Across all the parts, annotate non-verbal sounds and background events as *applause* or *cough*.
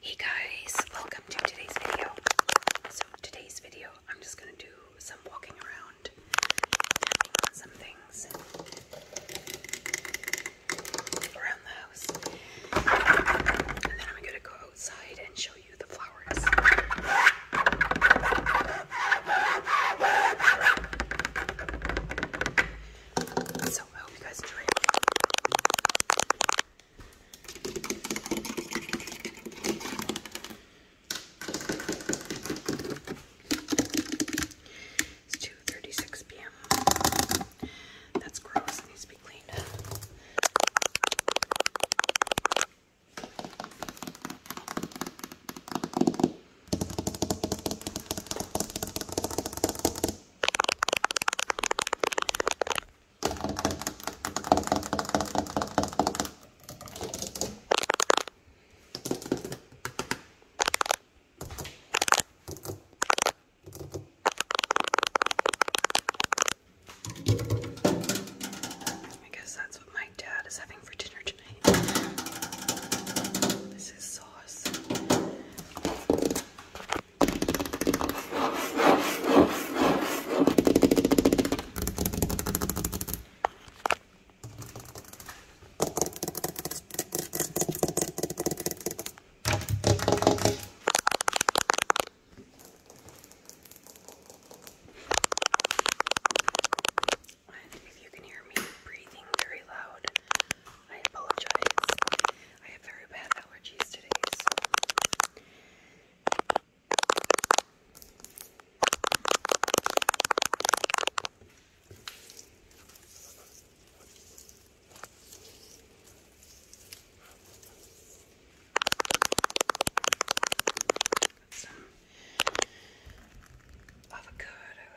Hey guys, welcome to today's video. So today's video, I'm just gonna do some walking around, some things around the house, and then I'm gonna go outside and show you the flowers. So I hope you guys enjoy it. It's 2.36 p.m. That's gross. It needs to be cleaned up. I guess that's what my dad is having for dinner tonight. This is sauce. And if you can hear me breathing very loud, I apologize. I have very bad allergies today. avocado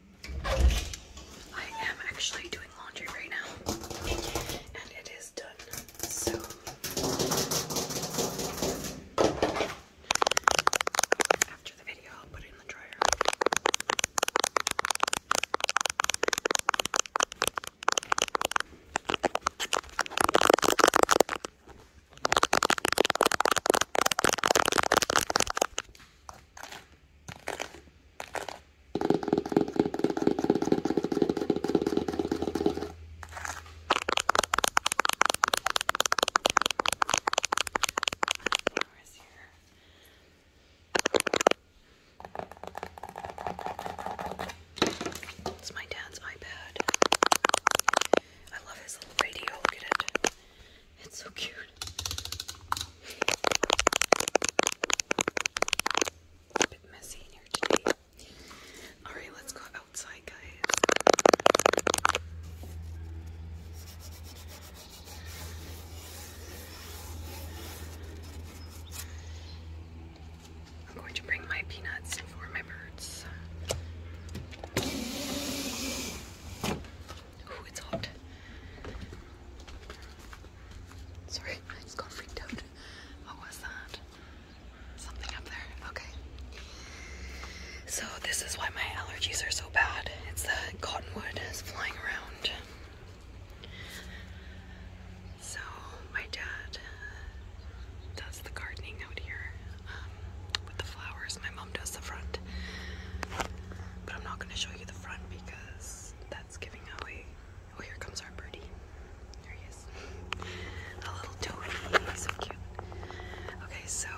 I am actually doing laundry right now, and it is done. So after the video, I'll put it in the dryer. Where's here? It's my dad's iPad. I love his little radio. Look at it. It's so cute. A bit messy in here today. Alright, let's go outside, guys. I'm going to bring my peanuts for my birds. Oh, it's hot. Sorry, I just got freaked out. What was that? Something up there. Okay. So this is why my allergies are so bad. It's the cottonwood is flying around. So my dad does the gardening out here with the flowers. My mom does the front, but I'm not going to show you the front because that's giving away. Oh, here comes our birdie. There he is. A little toady. So cute. Okay, so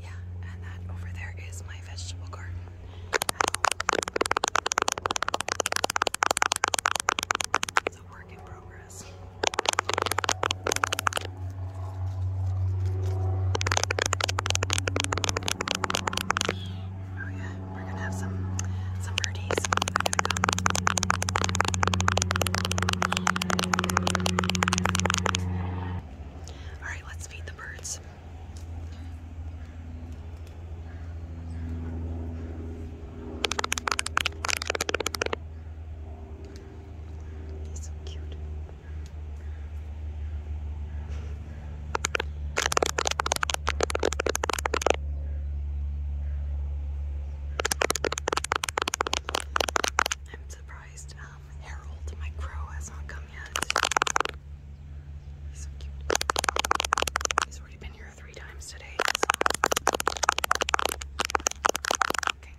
yeah, and that over there is my vegetable garden. It's a work in progress. Oh yeah, we're gonna have some some birdies. All right, let's feed the birds. He's so cute. I'm surprised um, Harold, my crow, has not come yet. He's so cute. He's already been here three times today. Okay.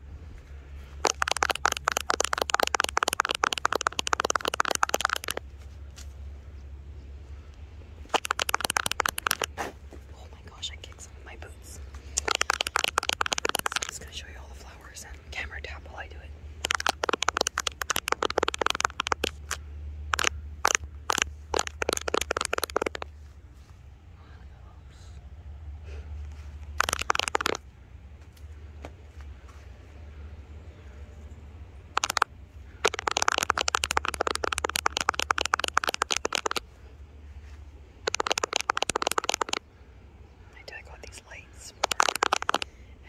Oh my gosh, I kicked some of my boots. So I'm just gonna show you all the flowers and camera tap while I do it. I do I got these lights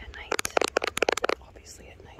at night. Obviously at night.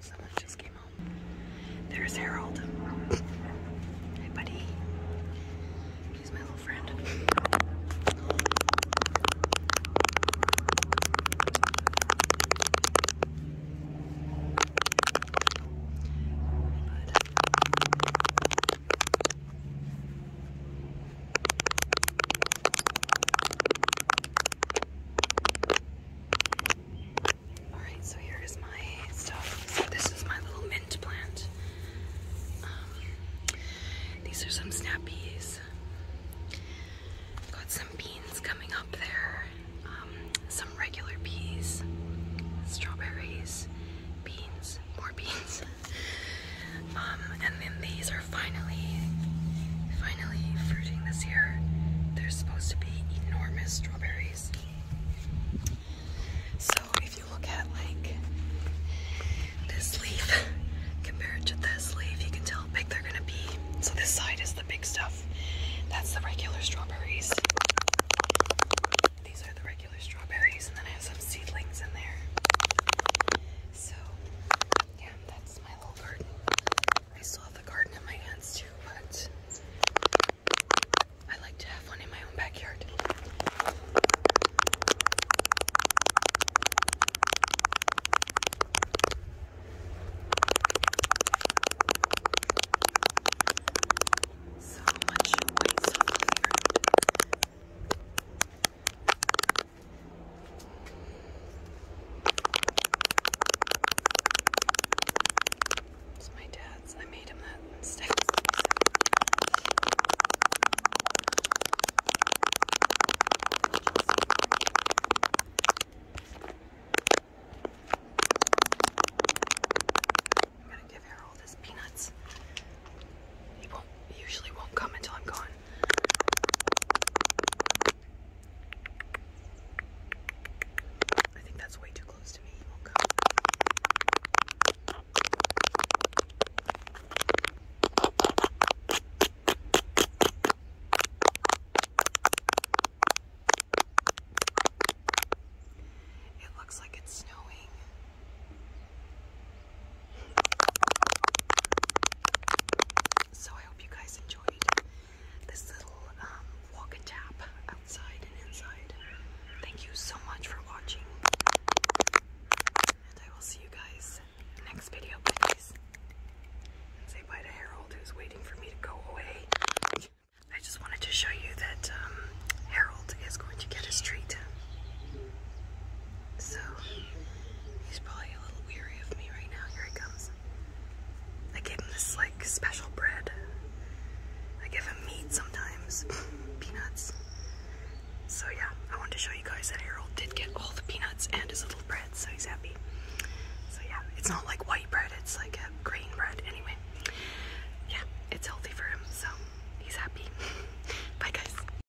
Someone just came home. There's Harold. Hey, buddy. He's my little friend. Alright, so here is my stuff. So this is my little mint plant. Um, these are some snap peas. Got some beans coming up there. Um, some regular peas, strawberries, beans, more beans. *laughs* Um, and then these are finally, finally fruiting this year. There's supposed to be enormous strawberries. So if you look at like this leaf compared to this leaf, you can tell how big they're gonna be. So this side is the big stuff. That's the regular strawberries. These are the regular strawberries, and then I have some seedlings in there. So yeah, that's my little garden. I still have the garden in my hands too, but I like to have one in my own backyard. So much waste on the it's my dad's. I made him that mistake. I'm gonna give Harold his peanuts. He won't usually won't come until I'm gone. I think that's way too close to me. It It looks like it's snowing. So I hope you guys enjoyed this little um, walk and tap outside and inside. Thank you so much for watching. And I will see you guys next video, please. say bye to Harold, who's waiting for me to go away. I just wanted to show you that um, Harold is going to get his treat. So he's probably a little weary of me right now. Here he comes. I gave him this like special bread. I give him meat sometimes, *laughs* peanuts. So yeah, I wanted to show you guys that Harold did get all the peanuts and his little bread, so he's happy. So yeah, it's not like white bread, it's like a grain bread anyway. Yeah, it's healthy for him, so he's happy. *laughs* Bye guys.